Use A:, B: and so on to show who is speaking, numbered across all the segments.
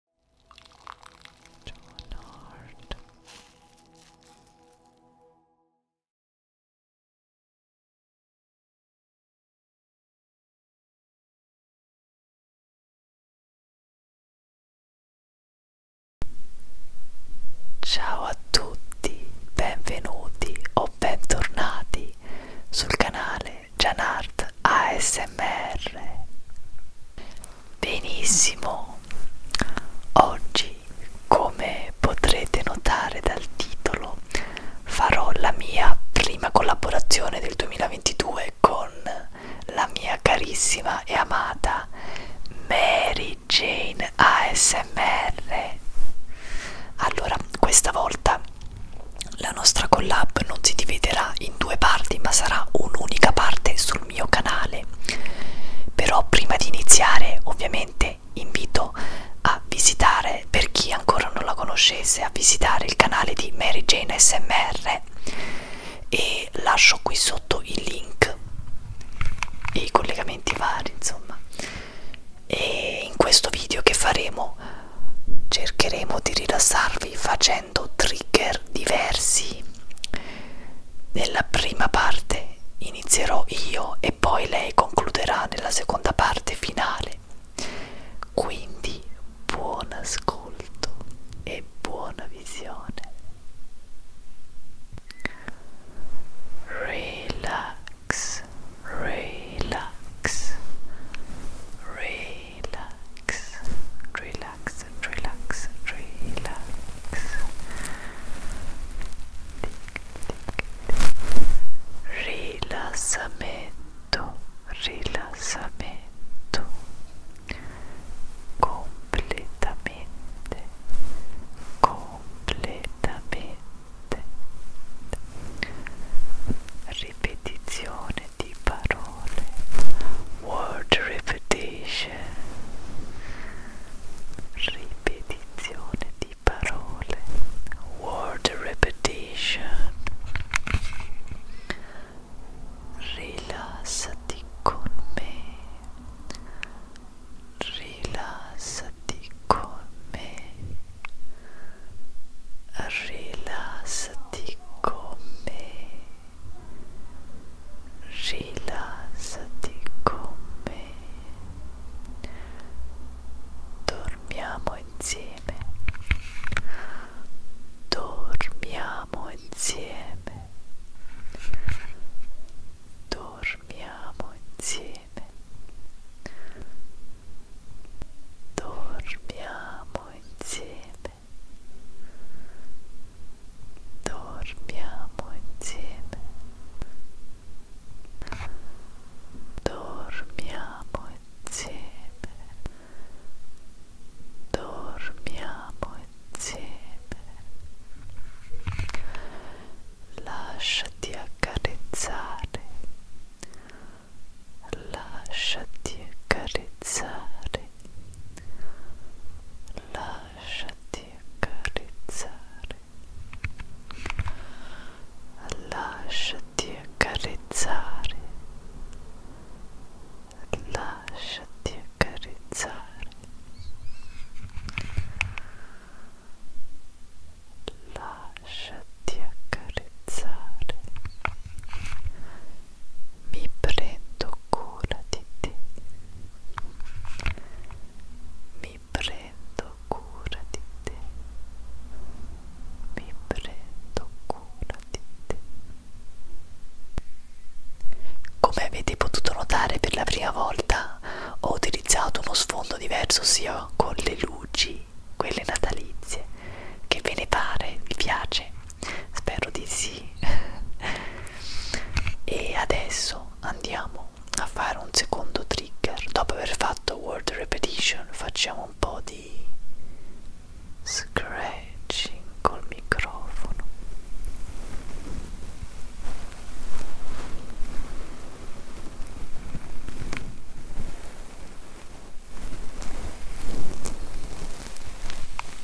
A: Donard Ciao a tutti, benvenuti o bentornati sul canale Janart ASMR. Benissimo, oggi come potrete notare dal titolo farò la mia prima collaborazione del 2022 con la mia carissima e amata Mary Jane ASMR. Allora, questa volta la nostra collab non si dividerà in in due parti ma sarà un'unica parte sul mio canale però prima di iniziare ovviamente invito a visitare per chi ancora non la conoscesse a visitare il canale di Mary Jane SMR e lascio qui sotto il link e i collegamenti vari insomma e in questo video che faremo cercheremo di rilassarvi facendo seguendo trigger diversi nella prima parte inizierò io e poi lei concluderà nella seconda parte finale quindi buon ascolto e buona visione relax relax relax relax relax, relax, relax. Tic, tic, tic. Rilassamento, rilassamento. Completamente, completamente. Ripetizione milione di parole word repetition ripetizione di parole word repetition rilassati con me rilassati con me rilassati con me rilassati con me dormiamo insieme dormiamo insieme dormiamo insieme dormiamo insieme dormiamo insieme dormiamo insieme dormiamo insieme lasciati accarezzare lasciati accarezzare lasciati accarezzare lasciati accarezzare lasciati accarezzare lasciati accarezzare mi prendo cura di te mi prendo cura di te mi prendo cura di te come avete potuto notare per la prima volta ho utilizzato uno sfondo diverso sia con le luci quelle natalizie che ve ne pare vi piace spero di sì e adesso andiamo a fare un secondo trigger dopo aver fatto word repetition facciamo un po' di scratching col microfono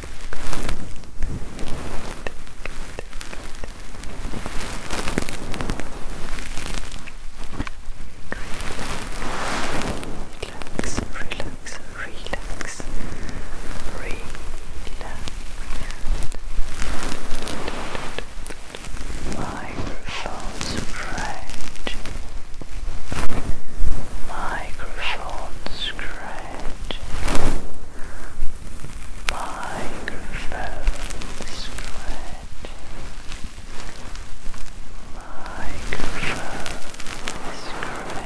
A: Relax, relax, relax, relax. Microphones scratch. Microphone scratch scratching, microphone scratching, microphone scratching.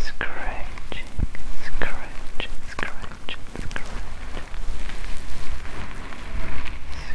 A: Scratching, scratch, scratch, scratch. Scratch,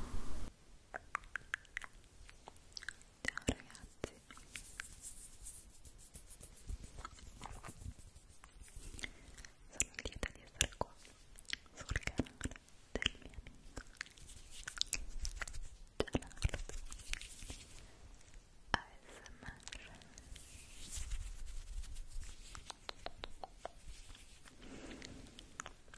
A: Ciao ragazzi Sono lieta di essere qua sul canale del mio amico Gerardo ASMR